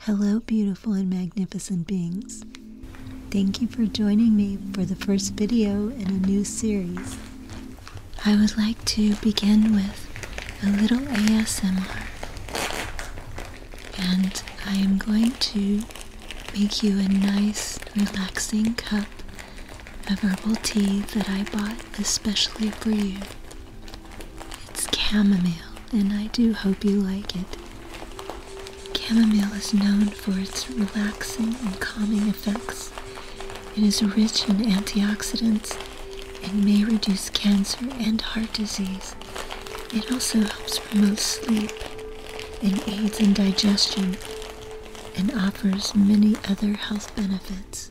Hello, beautiful and magnificent beings. Thank you for joining me for the first video in a new series. I would like to begin with a little ASMR, and I am going to make you a nice, relaxing cup of herbal tea that I bought especially for you. It's chamomile, and I do hope you like it. Chamomile is known for its relaxing and calming effects. It is rich in antioxidants and may reduce cancer and heart disease. It also helps promote sleep and aids in digestion and offers many other health benefits.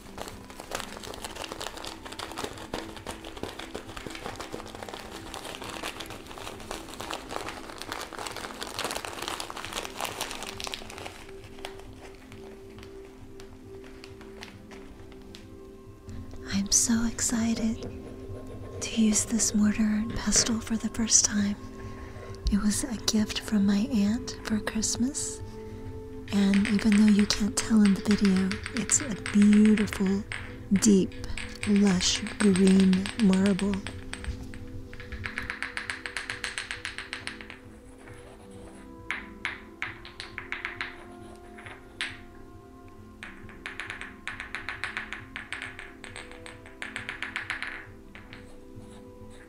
I'm so excited to use this mortar and pestle for the first time. It was a gift from my aunt for Christmas, and even though you can't tell in the video, it's a beautiful, deep, lush green marble.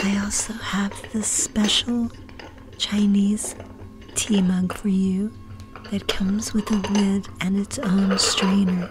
I also have this special Chinese tea mug for you that comes with a lid and its own strainer.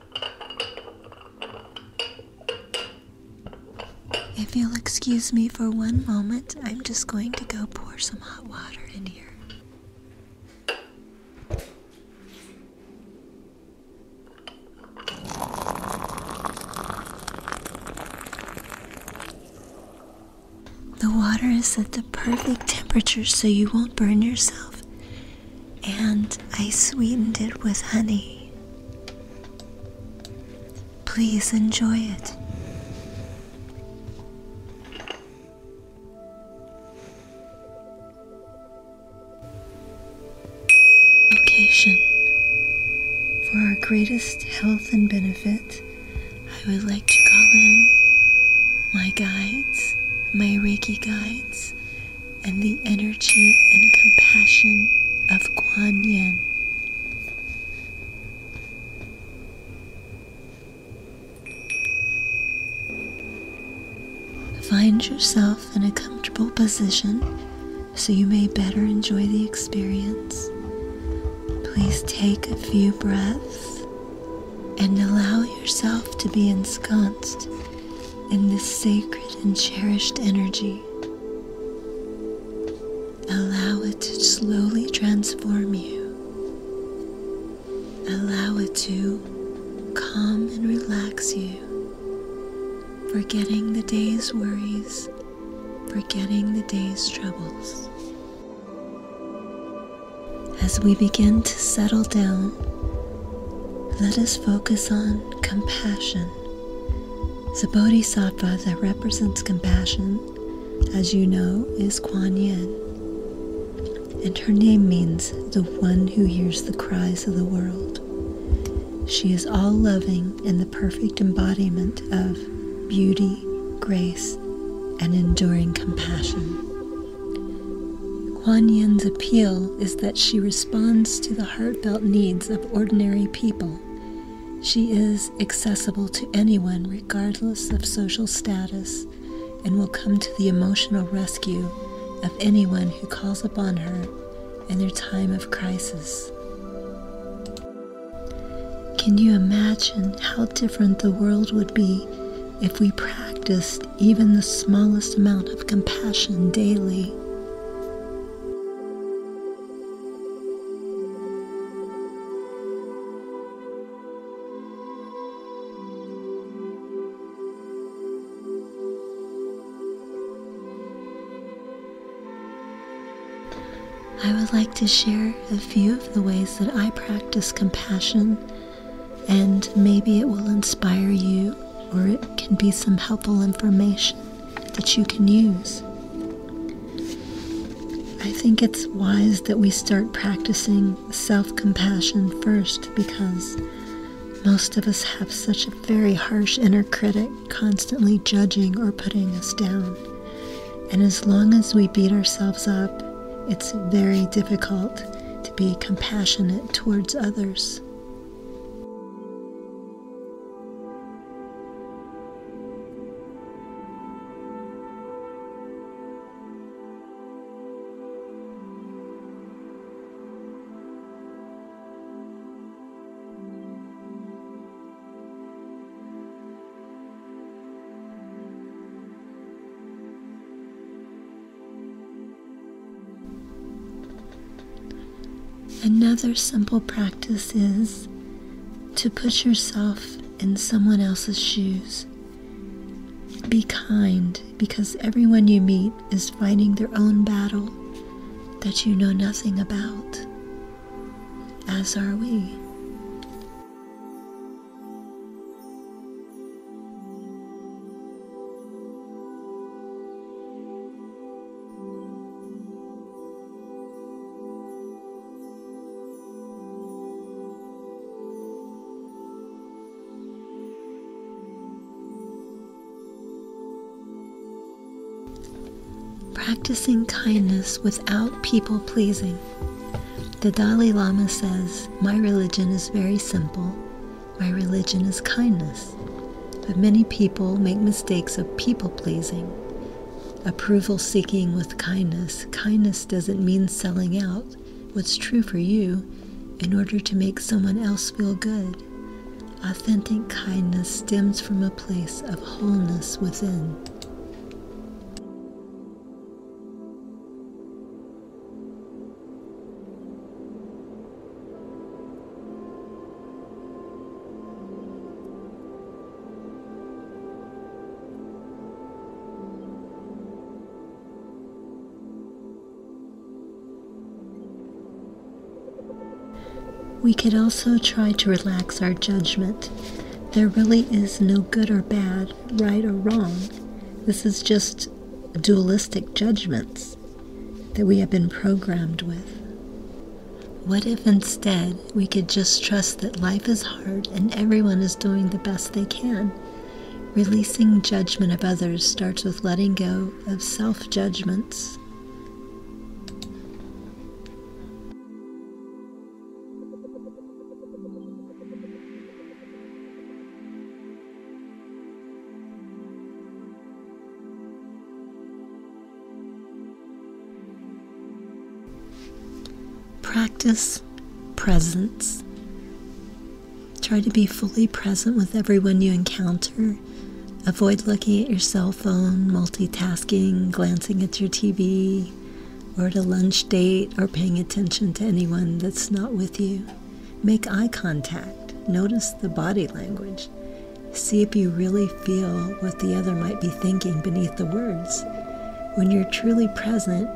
If you'll excuse me for one moment, I'm just going to go pour some hot water in here. The water is at the perfect temperature so you won't burn yourself and I sweetened it with honey. Please enjoy it. Location. For our greatest health and benefit, I would like to call in my guides, my Reiki guides, and the energy and compassion of Guanyin. Find yourself in a comfortable position so you may better enjoy the experience. Please take a few breaths and allow yourself to be ensconced in this sacred and cherished energy. Allow it to slowly transform you. Allow it to calm and relax you, forgetting the day's worries, forgetting the day's troubles. As we begin to settle down, let us focus on compassion. The bodhisattva that represents compassion, as you know, is Kuan Yin. And her name means the one who hears the cries of the world. She is all loving and the perfect embodiment of beauty, grace, and enduring compassion. Kuan Yin's appeal is that she responds to the heartfelt needs of ordinary people. She is accessible to anyone regardless of social status and will come to the emotional rescue of anyone who calls upon her in their time of crisis. Can you imagine how different the world would be if we practiced even the smallest amount of compassion daily. I would like to share a few of the ways that I practice compassion and maybe it will inspire you or it can be some helpful information that you can use. I think it's wise that we start practicing self compassion first because most of us have such a very harsh inner critic constantly judging or putting us down. And as long as we beat ourselves up, it's very difficult to be compassionate towards others. Another simple practice is to put yourself in someone else's shoes. Be kind because everyone you meet is fighting their own battle that you know nothing about, as are we. Practicing kindness without people pleasing the Dalai Lama says, My religion is very simple. My religion is kindness. But many people make mistakes of people pleasing. Approval seeking with kindness. Kindness doesn't mean selling out what's true for you in order to make someone else feel good. Authentic kindness stems from a place of wholeness within. We could also try to relax our judgment. There really is no good or bad, right or wrong. This is just dualistic judgments that we have been programmed with. What if instead we could just trust that life is hard and everyone is doing the best they can? Releasing judgment of others starts with letting go of self judgments. Practice presence. Try to be fully present with everyone you encounter. Avoid looking at your cell phone, multitasking, glancing at your TV, or at a lunch date or paying attention to anyone that's not with you. Make eye contact. Notice the body language. See if you really feel what the other might be thinking beneath the words. When you're truly present,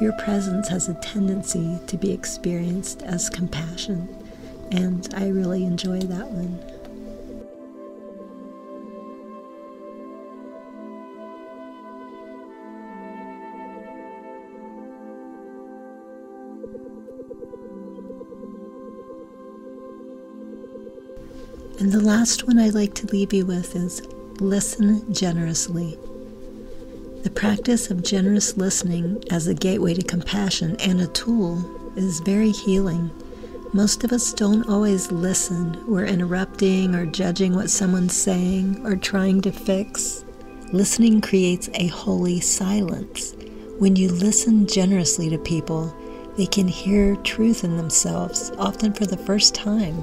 your presence has a tendency to be experienced as compassion, and I really enjoy that one. And the last one I'd like to leave you with is listen generously. The practice of generous listening as a gateway to compassion and a tool is very healing. Most of us don't always listen. We're interrupted interrupting or judging what someone's saying or trying to fix. Listening creates a holy silence. When you listen generously to people, they can hear truth in themselves, often for the first time.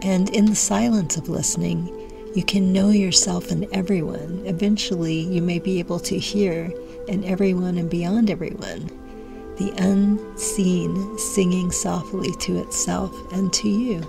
And in the silence of listening, you can know yourself and everyone. Eventually, you may be able to hear in everyone and beyond everyone the unseen singing softly to itself and to you.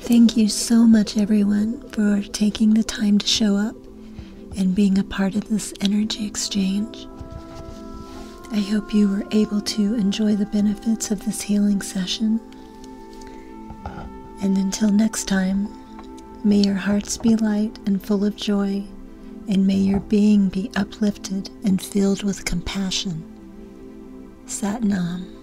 Thank you so much, everyone, for taking the time to show up and being a part of this energy exchange. I hope you were able to enjoy the benefits of this healing session. And until next time, may your hearts be light and full of joy and may your being be uplifted and filled with compassion. Sat Nam.